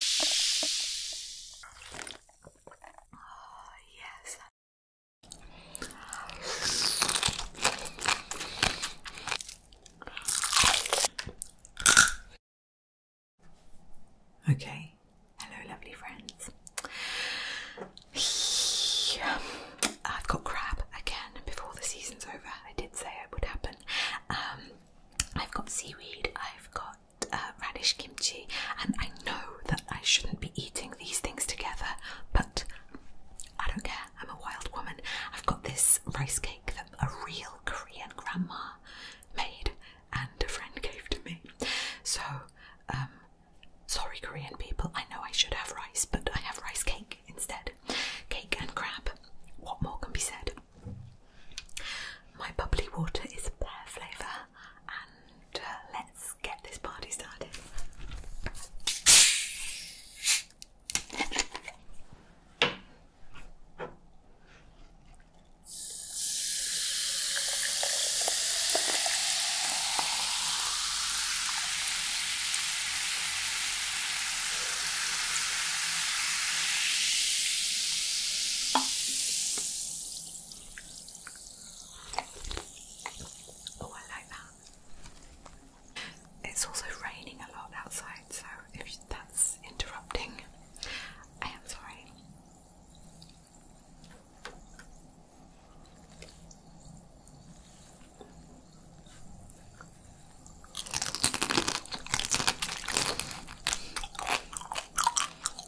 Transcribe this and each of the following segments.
Oh, yes. Okay, hello, lovely friends. I've got crab again before the season's over. I did say it would happen. Um, I've got seaweed, I've got uh, radish kimchi, and I know that I shouldn't be eating these things together, but I don't care. I'm a wild woman. I've got this rice cake that a real Korean grandma made and a friend gave to me. So, um, sorry, Korean people. I know I should have rice, but I have rice cake instead. Cake and crab. What more can be said? My bubbly water is pear flavour, and uh, let's get this party started. Oh, I like that. It's also raining a lot outside, so if that's interrupting, I am sorry.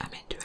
I'm in it.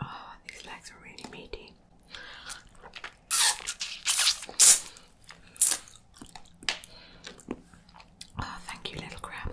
Oh, these legs are really meaty. Oh, thank you, little crab.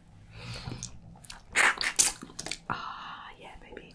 Ah, yeah, maybe.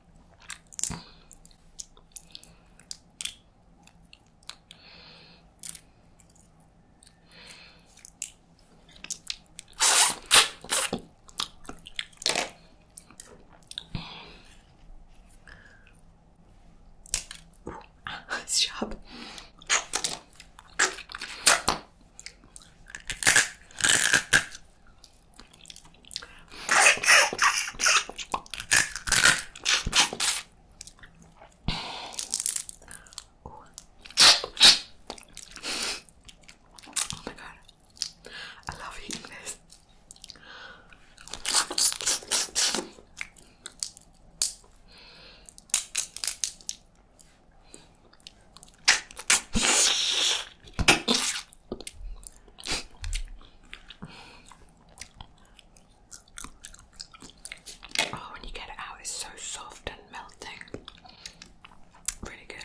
Nice job. Oh my god, I love eating this. Oh, when you get it out, it's so soft and melting. Really good.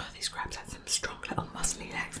Oh, these crabs have some strong little muscly legs.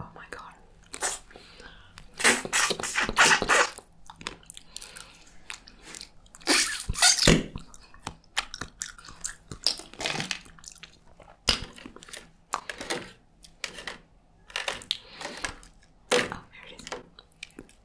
Oh my god. Oh, there it is.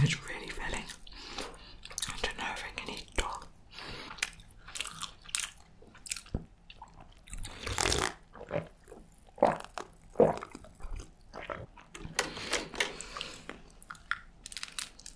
It's really filling. I don't know if I can eat it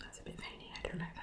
That's a bit veiny, I don't like that.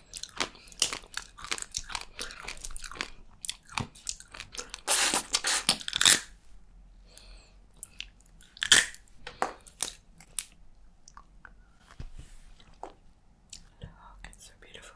Look, it's so beautiful.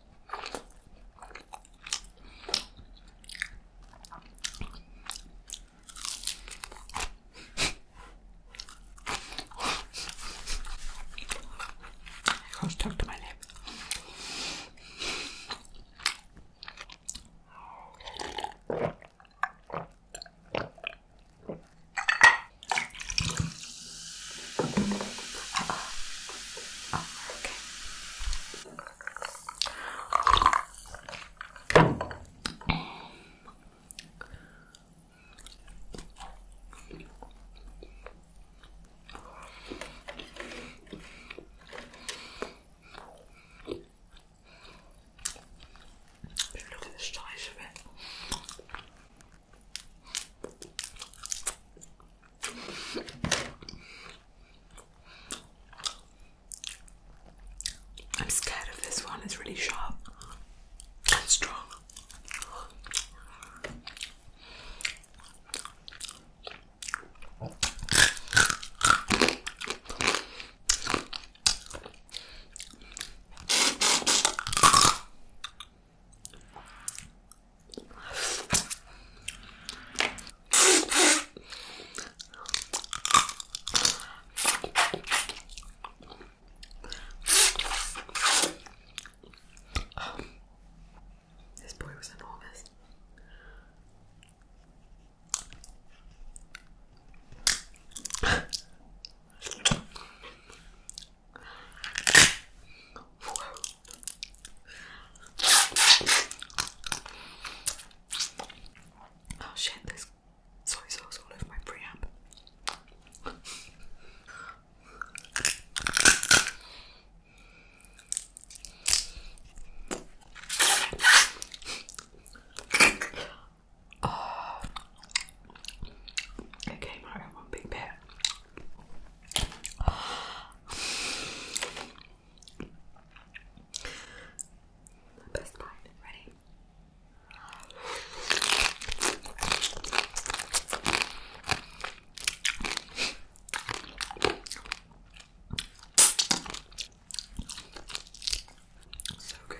It goes stuck to my lip. okay. Look at the size of it. I'm scared of this one, it's really sharp and strong this boy was enormous. Whoa. Oh shit, This soy sauce all over my preamp. oh, it one big bit. The best line. Ready? So good.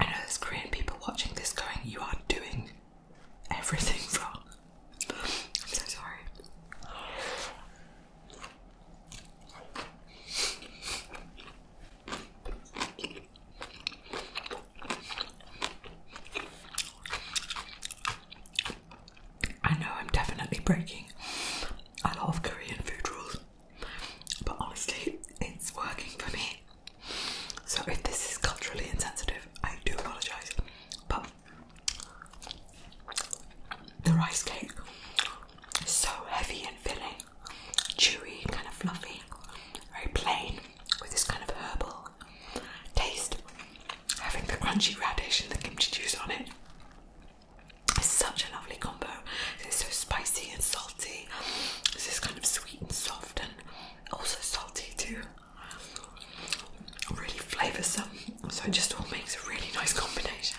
I know there's Korean people watching this going, you are doing everything wrong. I'm so sorry. I know I'm definitely breaking a lot of Korean food rules, but honestly, it's working for me. So, if this is culturally insensitive, I do apologise. But the rice cake is so heavy and filling, chewy, kind of fluffy, very plain with this kind of herbal taste. Having the crunchy radish and the kimchi juice on it is such a lovely combo. It's so spicy and salty. This is kind of sweet and soft and also salty too. Really flavoursome. So it just all makes a really nice combination.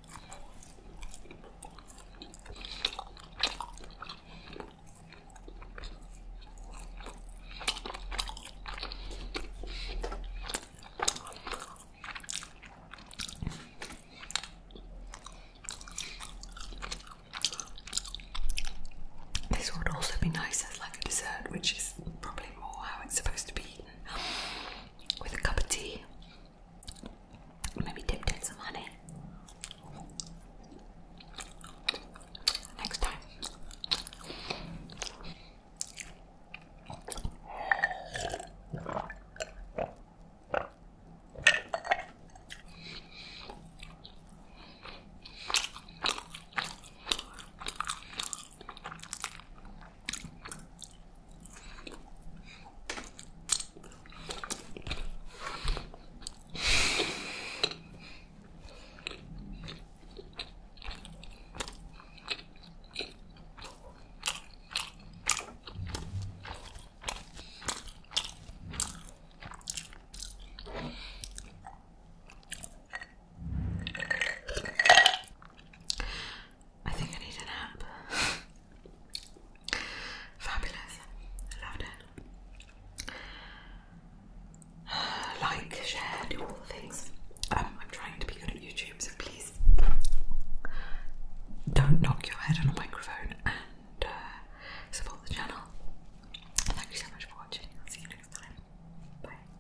This would also be nice as like a dessert, which is probably more how it's supposed to be eaten, with a cup of tea Maybe dip in some honey. Next time. I think I need a nap. Fabulous. Loved it. Like, share, do all the things. Um, I'm trying to be good at YouTube, so please don't knock your head on a microphone and uh, support the channel. Thank you so much for watching. I'll see you next time. Bye.